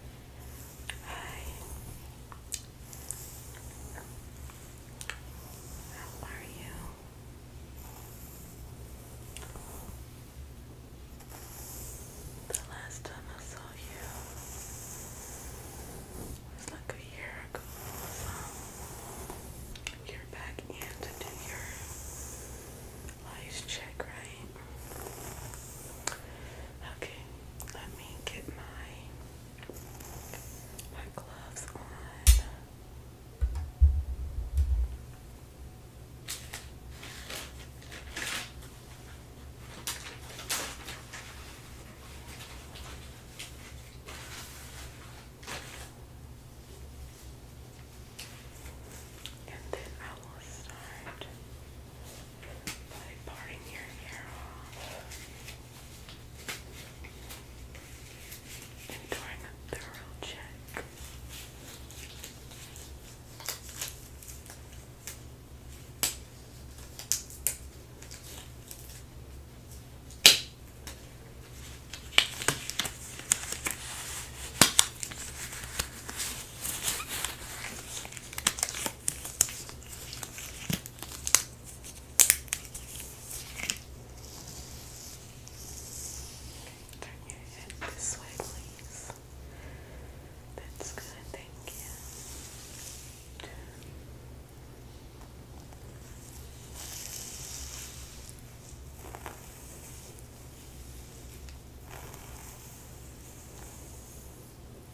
Hi. How are you? The last time I saw you was like a year ago. you're back in to do your life check, right? Okay, let me get my my gloves on. And then I will start by parting your hair off and doing a thorough check. Turn your head this way, please. That's good, thank you.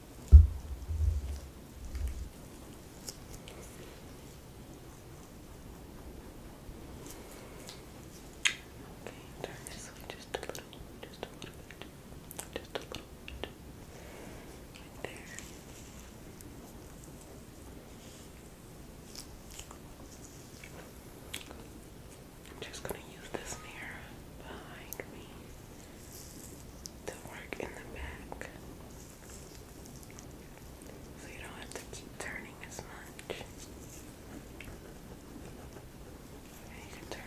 Okay, turn just a little, just a little just a little bit. there. I'm just going to use this mirror behind me to work in the back. So you don't have to keep turning as much. just a little bit right there.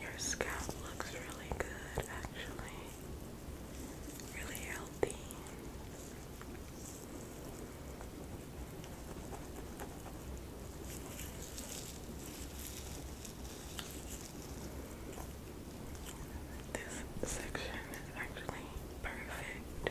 Your scalp looks really good, actually. Really healthy. This section is actually perfect.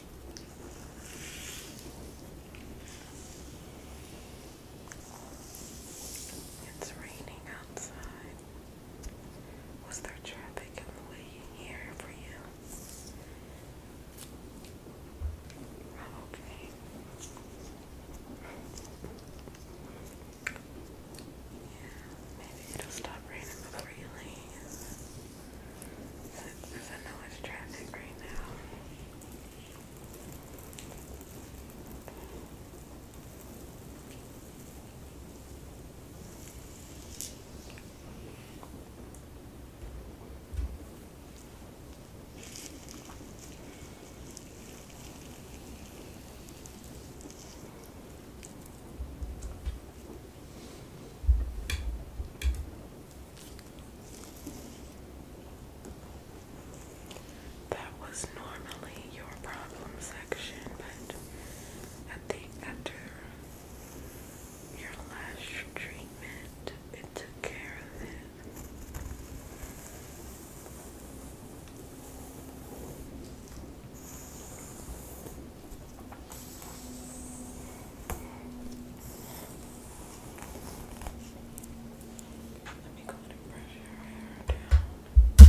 It's raining outside. Was there traffic in the way here for you? Oh, okay. Yeah, maybe it'll stop raining before you leave. There's a lot of traffic right now. That was normally your problem section, but I think after your last treatment, it took care of it. Let me go ahead and brush your hair down. Okay.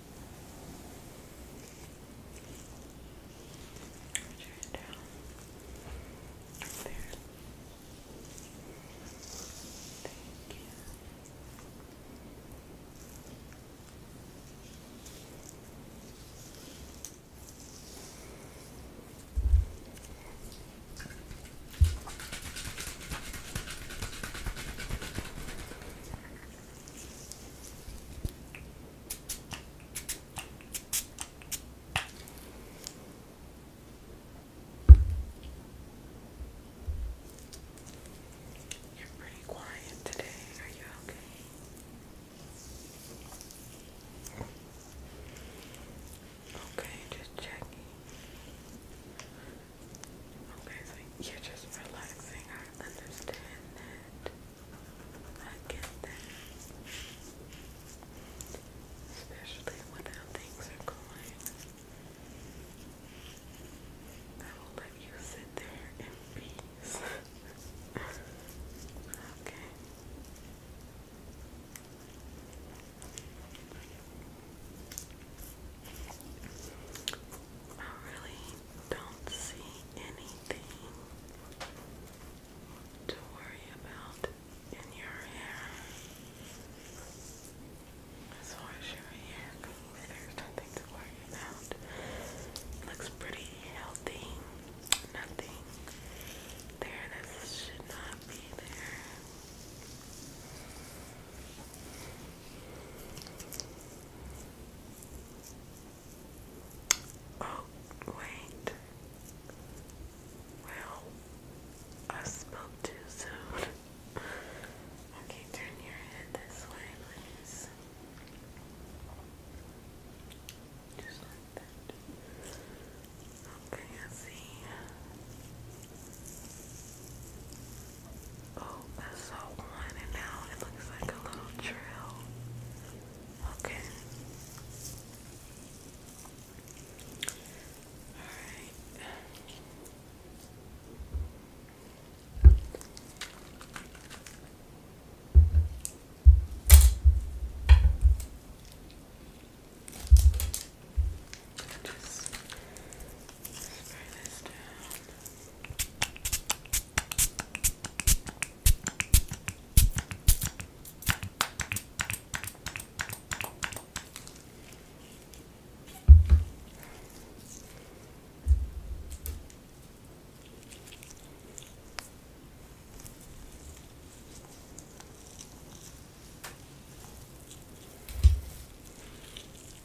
Turn it down. There. Thank you. Okay. You're pretty quiet today. Are you okay? Okay, just checking. Okay, you're just relaxing. I understand that. I get that. Especially when things are going. I will let you sit there in peace. Okay. I really don't see anything to worry about in your hair. As far as your hair goes, there's nothing to worry about. looks pretty healthy. Nothing there that should not be there. Oh, wait. Well, I spoke too soon. okay, turn your head this way, please. Just like that. Okay, I see. Oh, I saw one and now it looks like a little trail. Okay. Alright. Spray this down.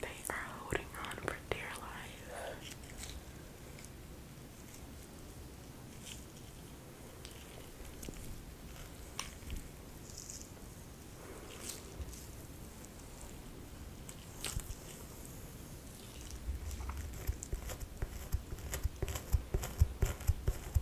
They are holding on for dear life.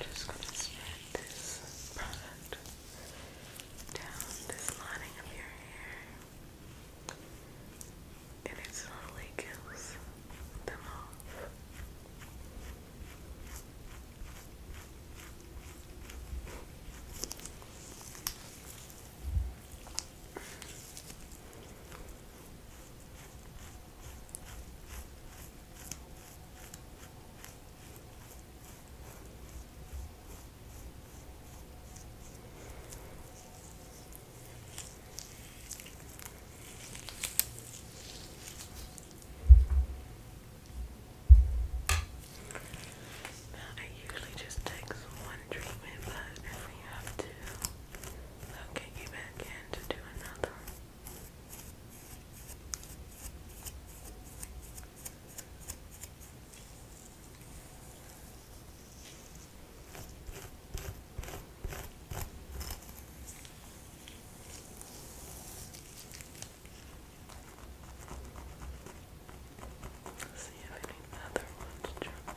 I'm just going to spread this product down this lining of your hair, and it slowly kills them off. Now, I usually just take one treatment, but if we have to, I'll get you back in to do another. Let's see if any other ones jump up.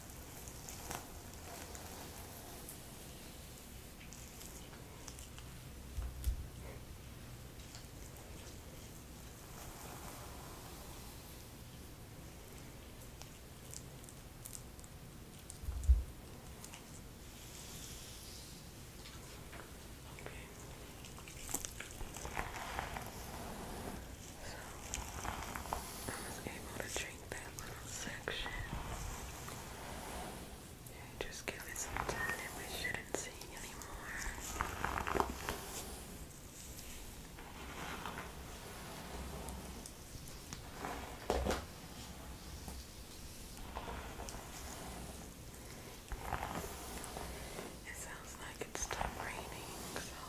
Okay. So I was able to drink that little section. just give it some time we shouldn't see anymore. It sounds like it's still raining, so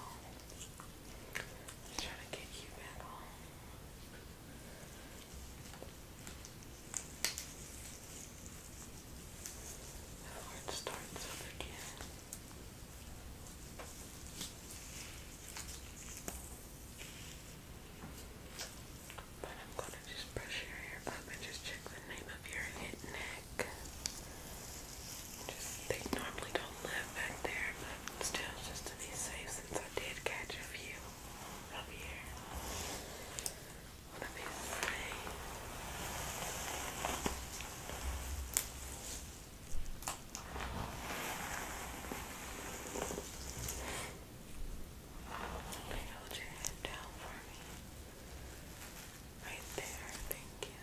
I'll try to get you back home. How it starts again. But I'm going to just brush your hair up and just check the name of your hit neck. Just, they normally don't live back there, but still, just to be safe I did catch a few up here. What a beautiful day. Okay, hold your head down for me. Right there, thank you.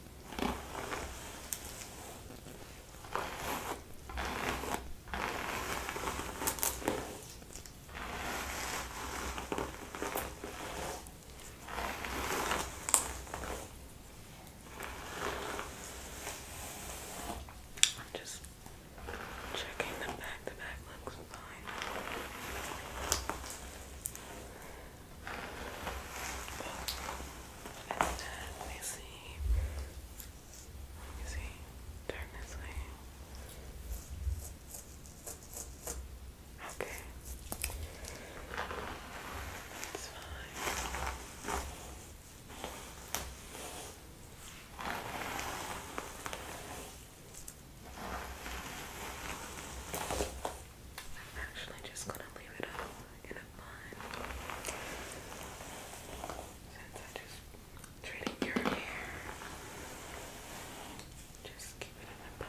I'm just checking the back. The back looks fine. And then let me see. Let me see. Turn this way. Okay. It's fine. I'm actually just gonna leave it up in a bun since I just treated your hair. Just keep it in a bun.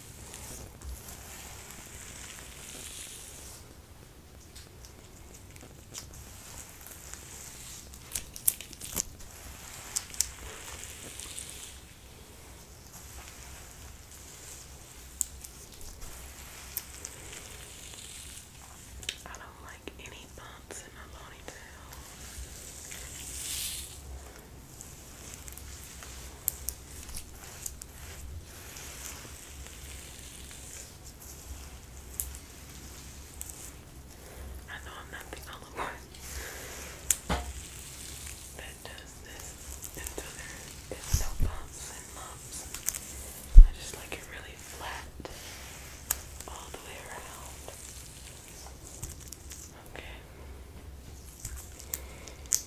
I don't like any bumps in my ponytail. I know I'm not the only one that does this until there is no bumps and I just like it really flat all the way around. Okay.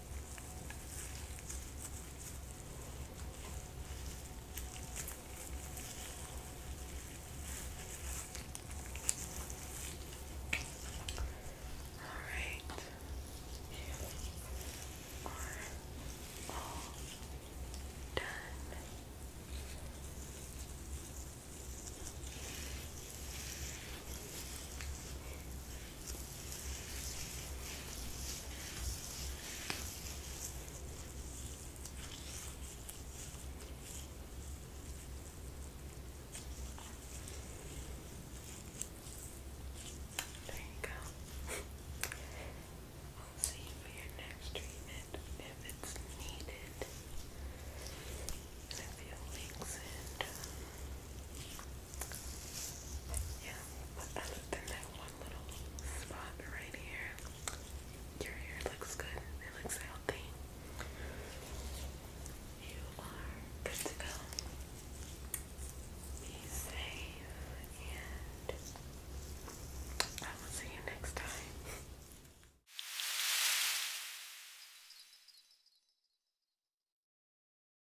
All right. You are all done. There you go. we'll see for your next treatment if it's needed. And if you links it. Yeah, but other than that one little spot right here, your hair looks good. It looks healthy. You are good to go. safe, and I will see you next time.